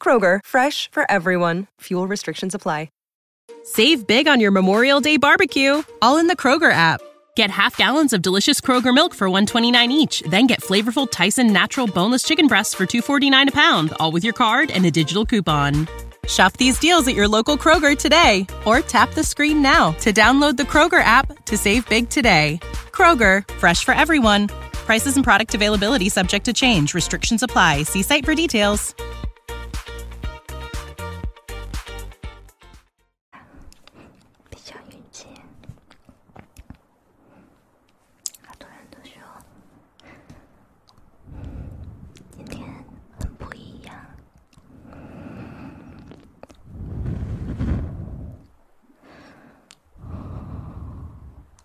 Kroger, fresh for everyone. Fuel restrictions apply. Save big on your Memorial Day barbecue, all in the Kroger app. Get half gallons of delicious Kroger milk for 129 each, then get flavorful Tyson natural boneless chicken breasts for 249 a pound, all with your card and a digital coupon. Shop these deals at your local Kroger today or tap the screen now to download the Kroger app to save big today. Kroger, fresh for everyone. Prices and product availability subject to change. Restrictions apply. See site for details.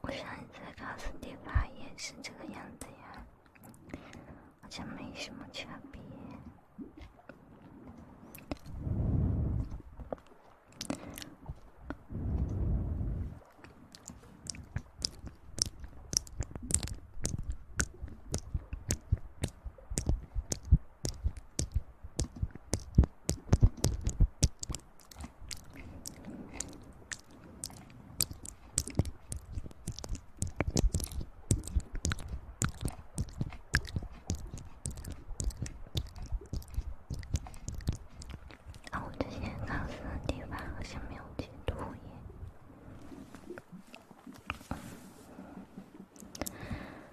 我上次卡斯蒂瓦也是这个样子呀，好像没什么差别。我这些考试题吧，好像没有截图耶。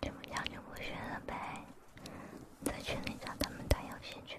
不想就不学了呗，在群里找他们打游戏去。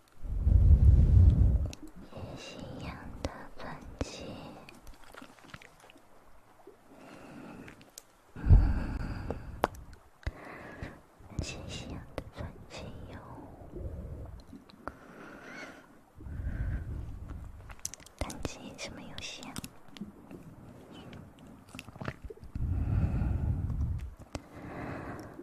星星一样的传奇，星星一样的传奇哟。单机什么游戏啊？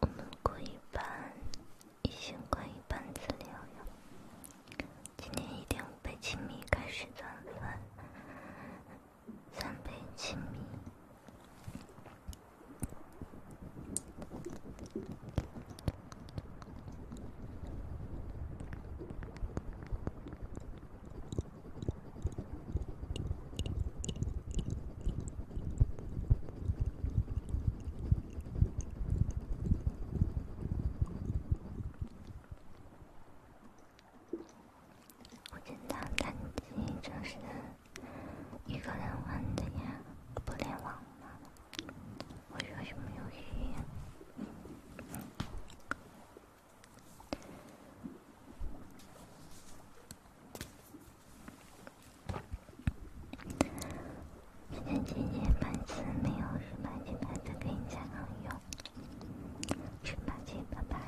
我们过一半，一千过一半，自疗哟。今天一杯青米开始攒粉，三杯青米。我知道单机就是一个人玩的呀，不联网吗？我学习没有去。十把金牌子没有，十把金牌子可以加好友。十把金牌牌，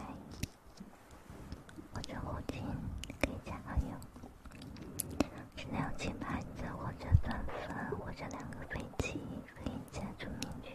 或者五金可以加好友。十六金牌，或者三分，或者两个飞机可以加朱明君。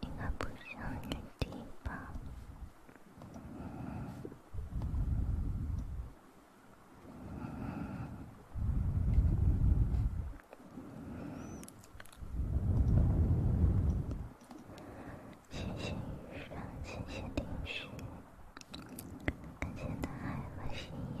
应该不像女帝吧？先写上，先写历史，而且他还和谁一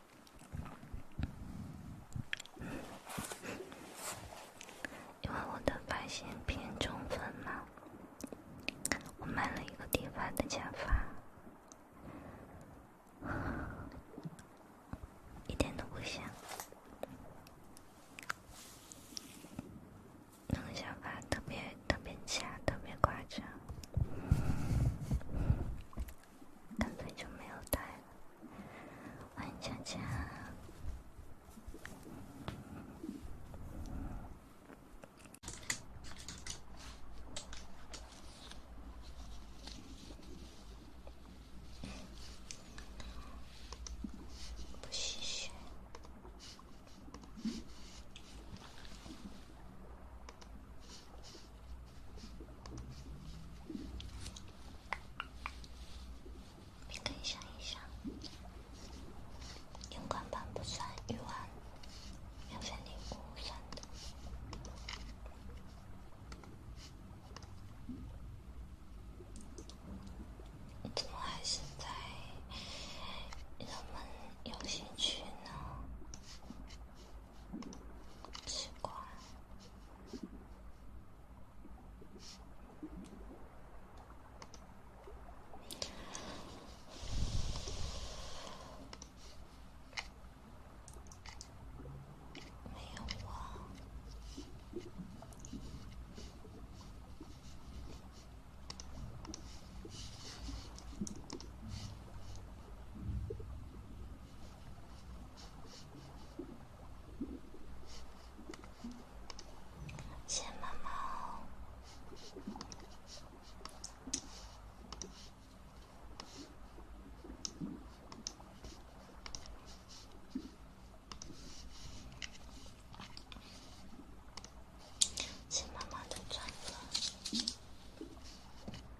因为我的发型偏中分嘛，我买了一个 D 版的假发，一点都不像，那个假发特别特别假，特别夸张。根本就没有带。欢迎强强，不洗洗。你可以想一想，阳光版不算一万，免费礼物算的，怎么还是在人们游戏区呢？奇怪，没有。谢妈妈，谢妈妈的祝福。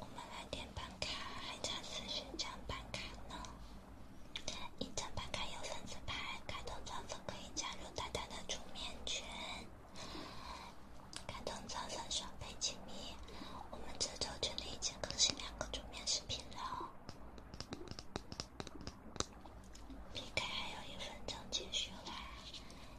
我们来点办卡，还差四十张办卡呢。一张办卡有三次牌，开通钻粉可以加入大胆的主面圈。开通钻粉少费几米。我们这周群里已经更新两个主面视频了。PK 还有一分钟结束啦！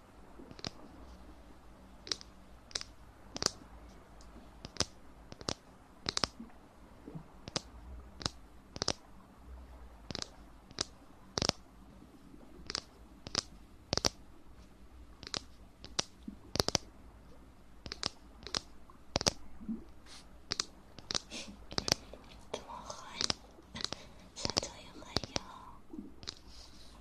这么狠，才终于会有。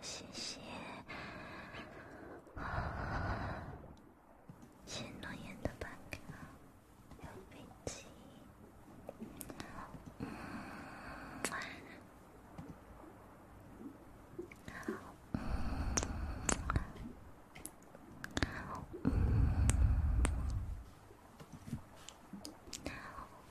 谢谢，谢诺言的白鸽，有飞机，晚安。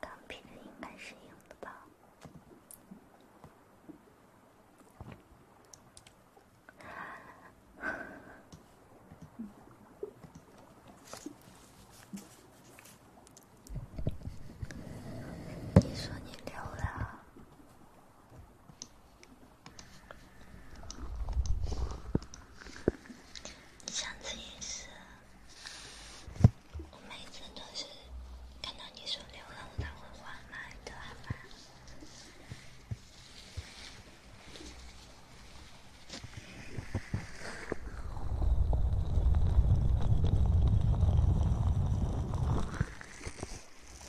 钢笔这应该是硬的吧？你说你溜了。上次也是，我每次都是看到你说流浪，我才会画的，好吧？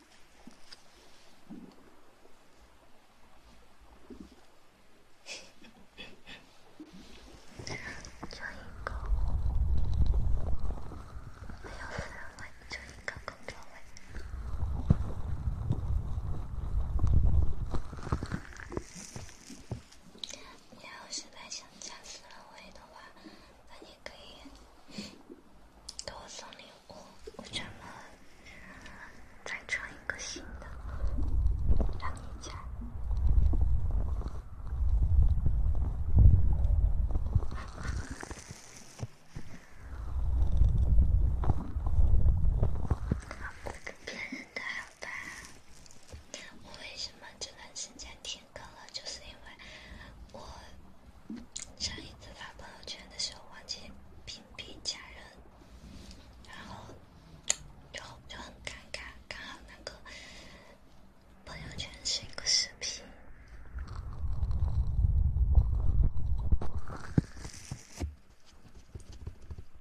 就一个，没有氛围，就一个空调味。你要是再想加氛围的话，那你可以。给我送礼物，我准备再穿一个新的，让你穿。不跟别人的，好吧？我为什么这段时间停更了？就是因为我。上一次发朋友圈的时候忘记屏蔽家人，然后，然后就很尴尬，看到那个朋友圈是一个视频，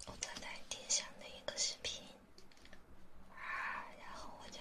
我正在听上的一个视频啊，然后我就。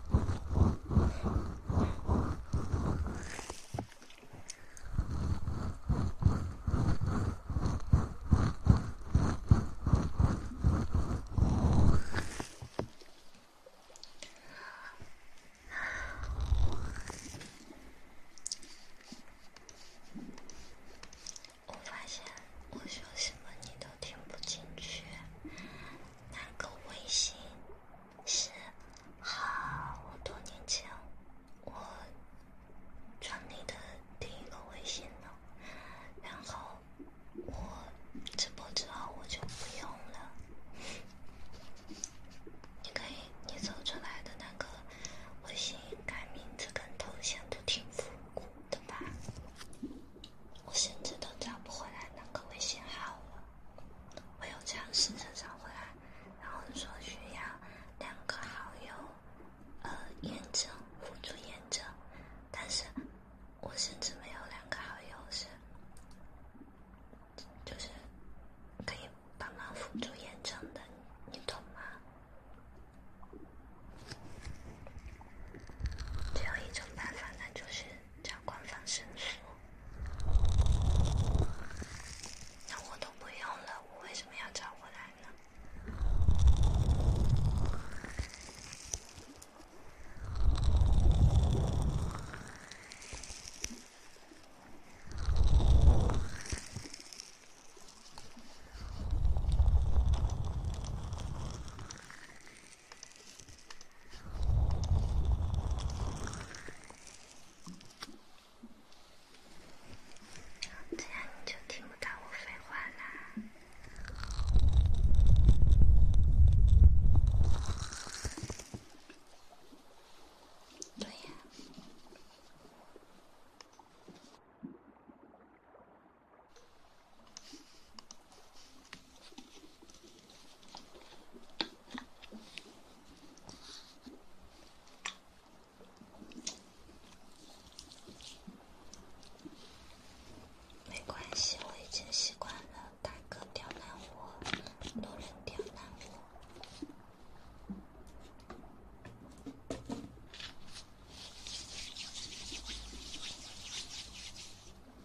我发现，我说什么你都。听不进去，那个微信是好多年前我传你的第一个微信了，然后我直播之后我就不用了。你可以，你走出来的那个微信改名字跟头像都挺复古的吧？我甚至都找不回来那个微信号了，我有尝试着找回来，然后说需要两个好友，呃，验证辅助验证，但是，我甚至没有两个好友是，就是可以帮忙辅助验证的，你懂吗？只有一种办法，那就是。找官方申诉？那我都不用了，我为什么要找回来呢？这样你就听不到我废话啦。对呀。没关系，我已经习惯了大哥刁难我，路人刁难我。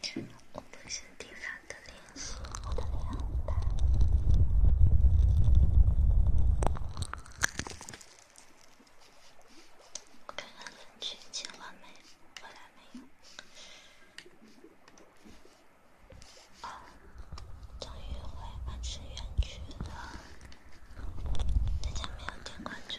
更新地方的联系，我的脸红的。我看看文具借完没，回来没有？终于回班主任去了。大家没有点关注。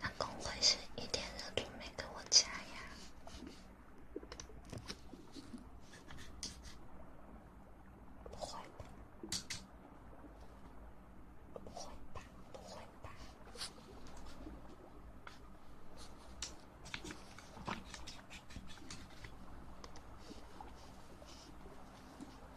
那公会是一点热度没给我加呀？不会吧？不会吧？不会吧？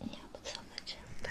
要不做个这吧。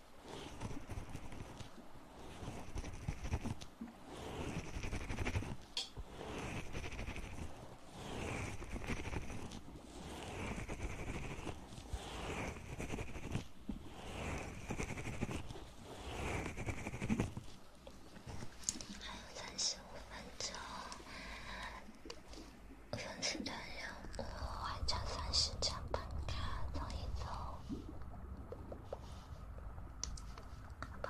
还有三十五分钟。三十张呀！我还有三十张本卡，走一走，好吧。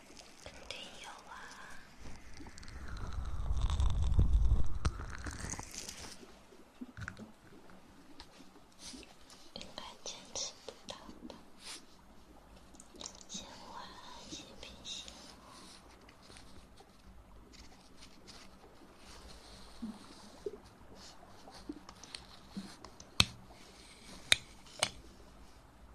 肯定有啊，应该坚持不到吧？今晚安心平息。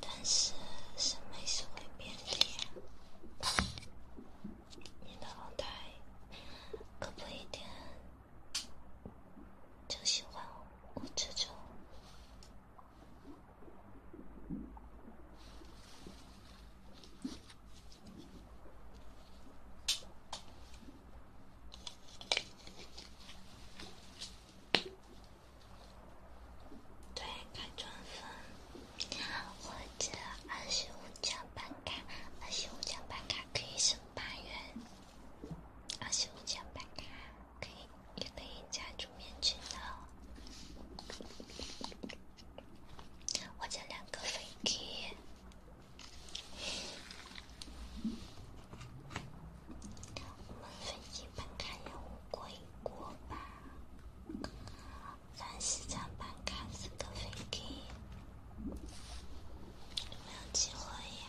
但是审美是会变的，你的老太可不一定就喜欢我这种。对，开钻粉，或者二十张半卡，二十张半卡可以省八元，二十张半卡可以也可以加助眠券的，我加两个飞机，我们飞机半卡也不贵。过吧，三十张半卡是个飞机，我要结婚呀！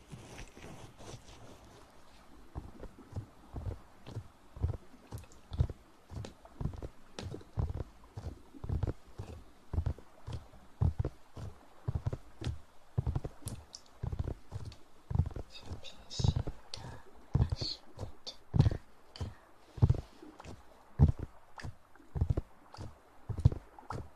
平行的二十五的八个。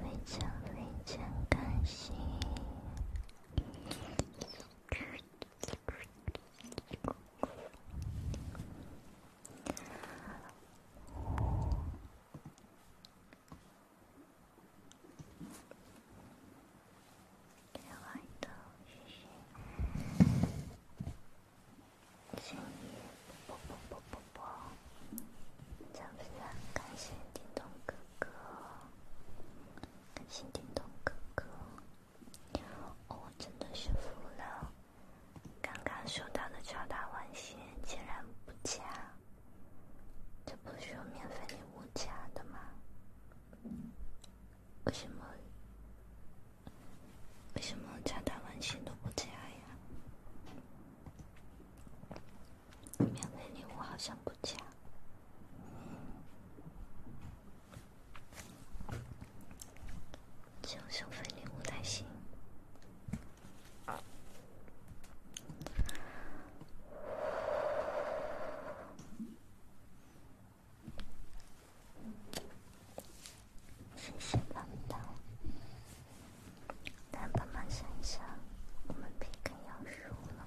非常非常开心。亲爱的，谢谢，亲你啵啵啵啵啵啵！是不是很开心？叮咚哥哥，开心叮咚哥哥，我真的是服了。刚刚收到的超大短信，竟然不假，这不是有免费礼物加的吗？为什么？为什么加弹丸星都不加呀？免费礼物好像不加，就收费礼物才行。谢谢老板，老板们想想，我们被跟要输了。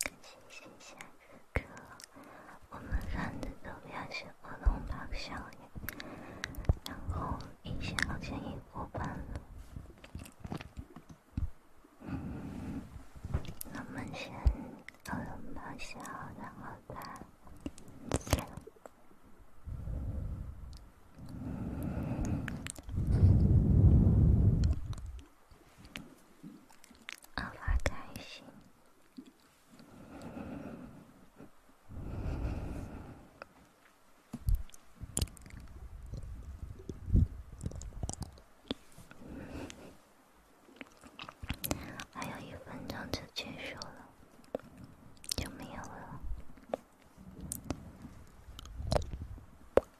更新下一个，我们看的都要是儿童版少女，然后一下建议过半了，那我们先儿童版先，然后再。好开心！还有一分钟就结束了，就没有了。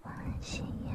欢喜呀！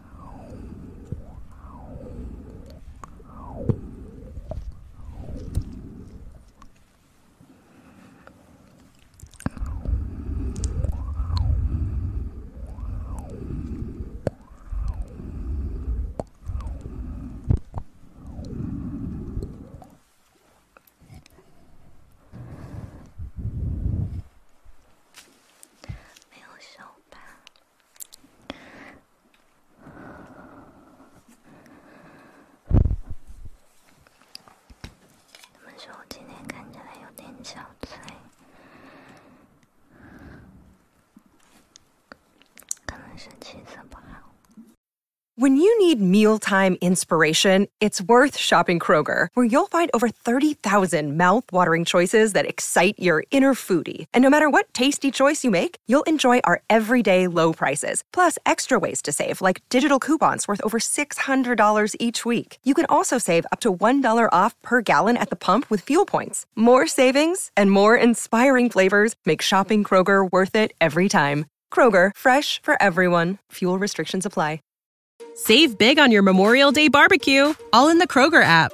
没有手吧。他们说我今天看起来有点憔悴，可能是气色不好。When you need mealtime inspiration, it's worth shopping Kroger, where you'll find over 30,000 mouthwatering choices that excite your inner foodie. And no matter what tasty choice you make, you'll enjoy our everyday low prices, plus extra ways to save, like digital coupons worth over $600 each week. You can also save up to $1 off per gallon at the pump with fuel points. More savings and more inspiring flavors make shopping Kroger worth it every time. Kroger, fresh for everyone. Fuel restrictions apply. Save big on your Memorial Day barbecue, all in the Kroger app.